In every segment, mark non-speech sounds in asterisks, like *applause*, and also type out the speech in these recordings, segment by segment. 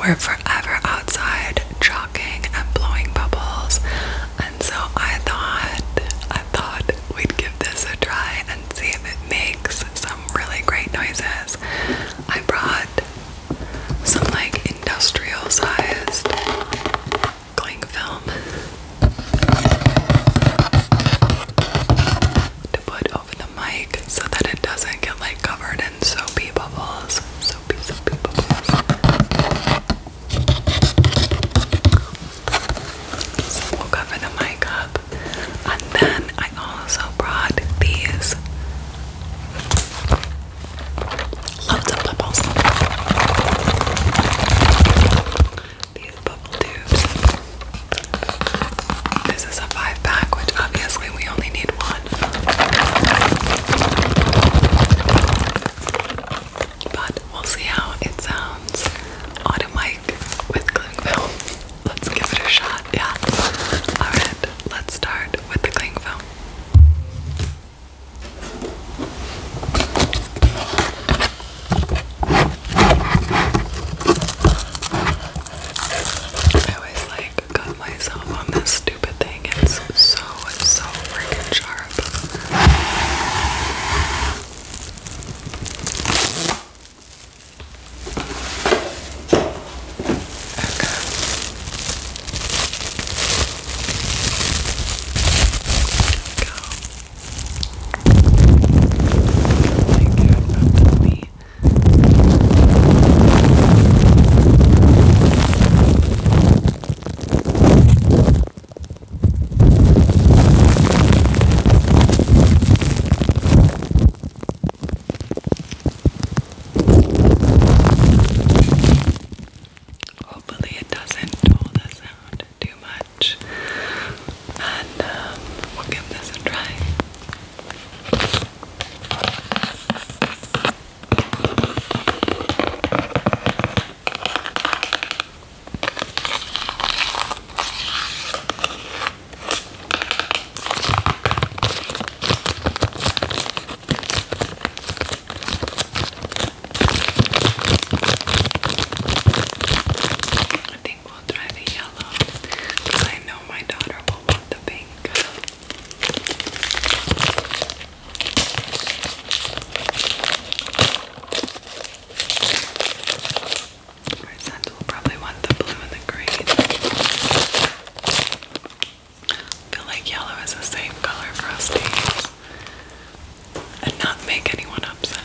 We're forever outside jocking and blowing bubbles. And so I thought I thought we'd give this a try and see if it makes some really great noises. I brought some like industrial sized cling film to put over the mic so that it doesn't get like covered in soapy bubbles we'll cover the mic up. And then I also brought these loads of bubbles. These bubble tubes. This is a five pack, which obviously we only need one. But we'll see how it sounds on a mic with cling film. Let's give it a shot, yeah. Alright, let's start with the cling film. I always like cut myself on this stupid thing. It's so, so freaking sharp. Okay. Go. Like, me. Hopefully, it doesn't dull the sound too much, and um, we'll give this a try. I think we'll try the yellow I know my daughter will want the pink. Our scent will probably want the blue and the green. I feel like yellow is a safe color for us to and not make anyone upset.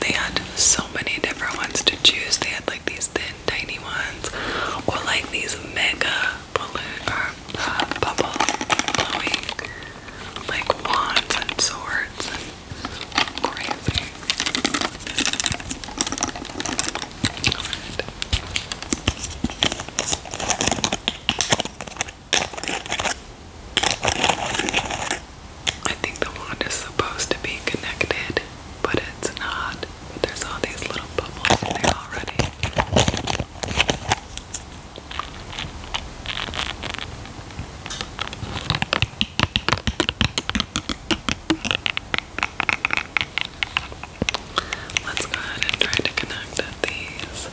They had so many different ones to choose. They had like these thin, tiny ones, or like these mega balloon or uh, bubble blowing like wands and swords and crazy. I think the wand is supposed to be connected, but it's not. There's all these little bubbles in there already. Let's go ahead and try to connect these.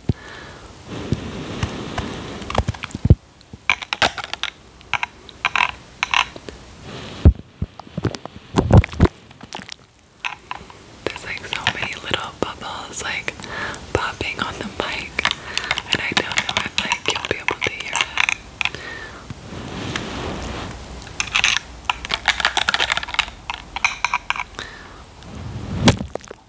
There's like so many little bubbles like popping on the mic, and I don't know if like you'll be able to hear it.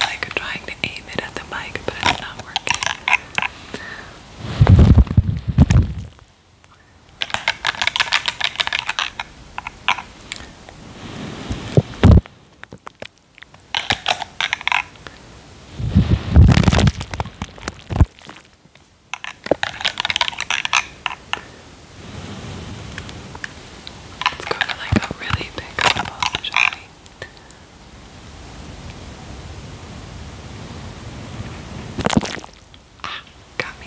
Like trying to aim it at the mic, but it's not working. Let's go for like a really big bubble, shall we? Ah, got me.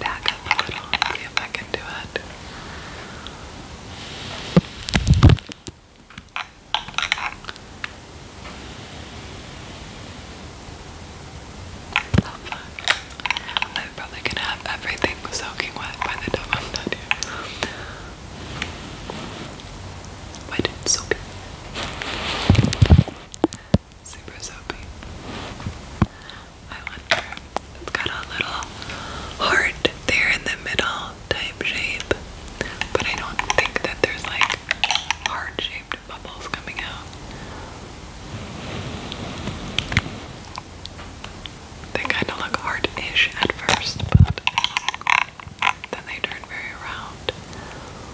Back up a little see if I can do it. I'm probably gonna have everything soaking wet by the time I'm done here. Wet soapy super soapy. I wonder. It's got a little heart there in the middle type shape, but I don't think that there's like heart shaped bubbles coming out. They kind of look heart ish at first, but then they turn very round.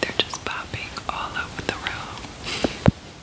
They're just popping all over the room.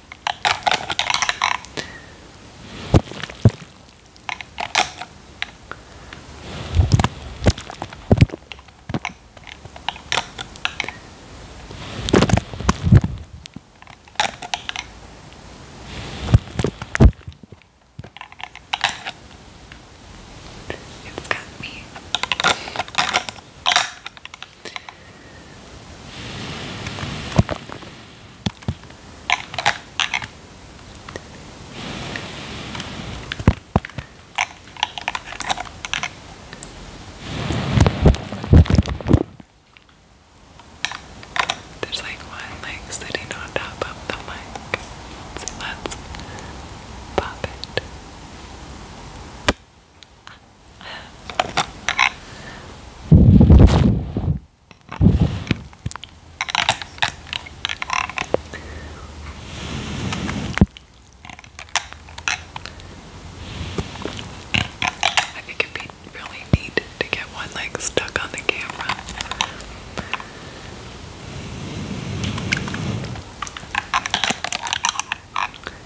It's got me. There's like one leg sitting on top of the mic. So let's pop it. I think it'd be really neat to get one leg stuck on the camera. Oh,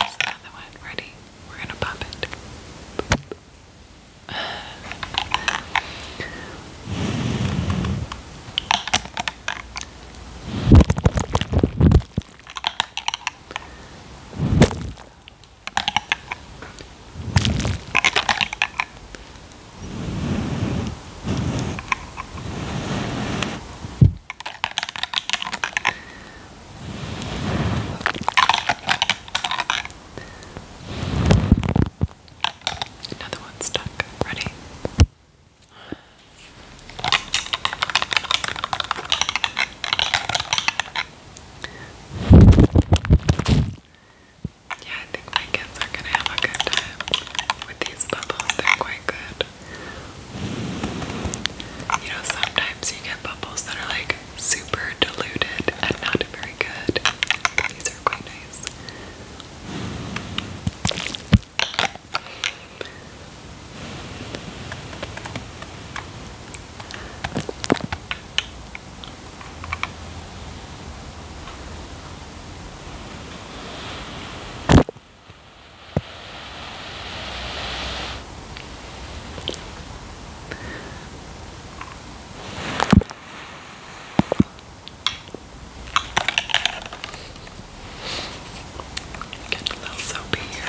there's another one. Ready? We're gonna pop it. Another one stuck. Ready? Yeah, I think my kids are gonna have a good time with these bubbles. They're quite good. You know, sometimes you get bubbles that are like super diluted and not very good. These are quite nice. Getting a little soapy here.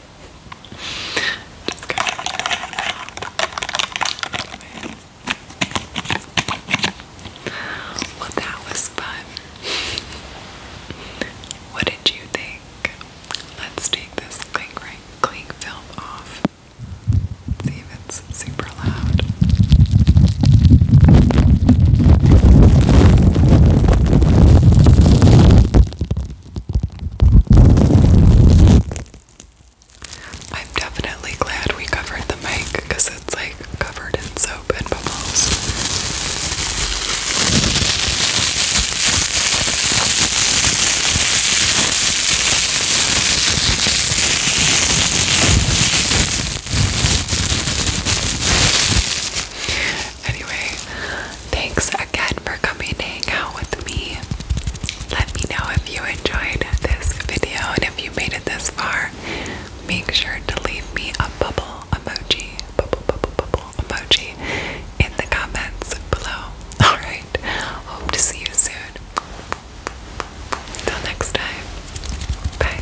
Well, that was fun. What did you think? Let's take this clink, right, clink film off. See if it's super loud. I'm definitely glad we covered the mic because it's like covered in soap and bubbles. Anyway, Thanks again for coming to hang out with me. Let me know if you enjoyed this video and if you made it this far. Make sure to leave me a bubble emoji, bubble, bubble, bubble emoji in the comments below. *laughs* Alright, hope to see you soon. Till next time, bye.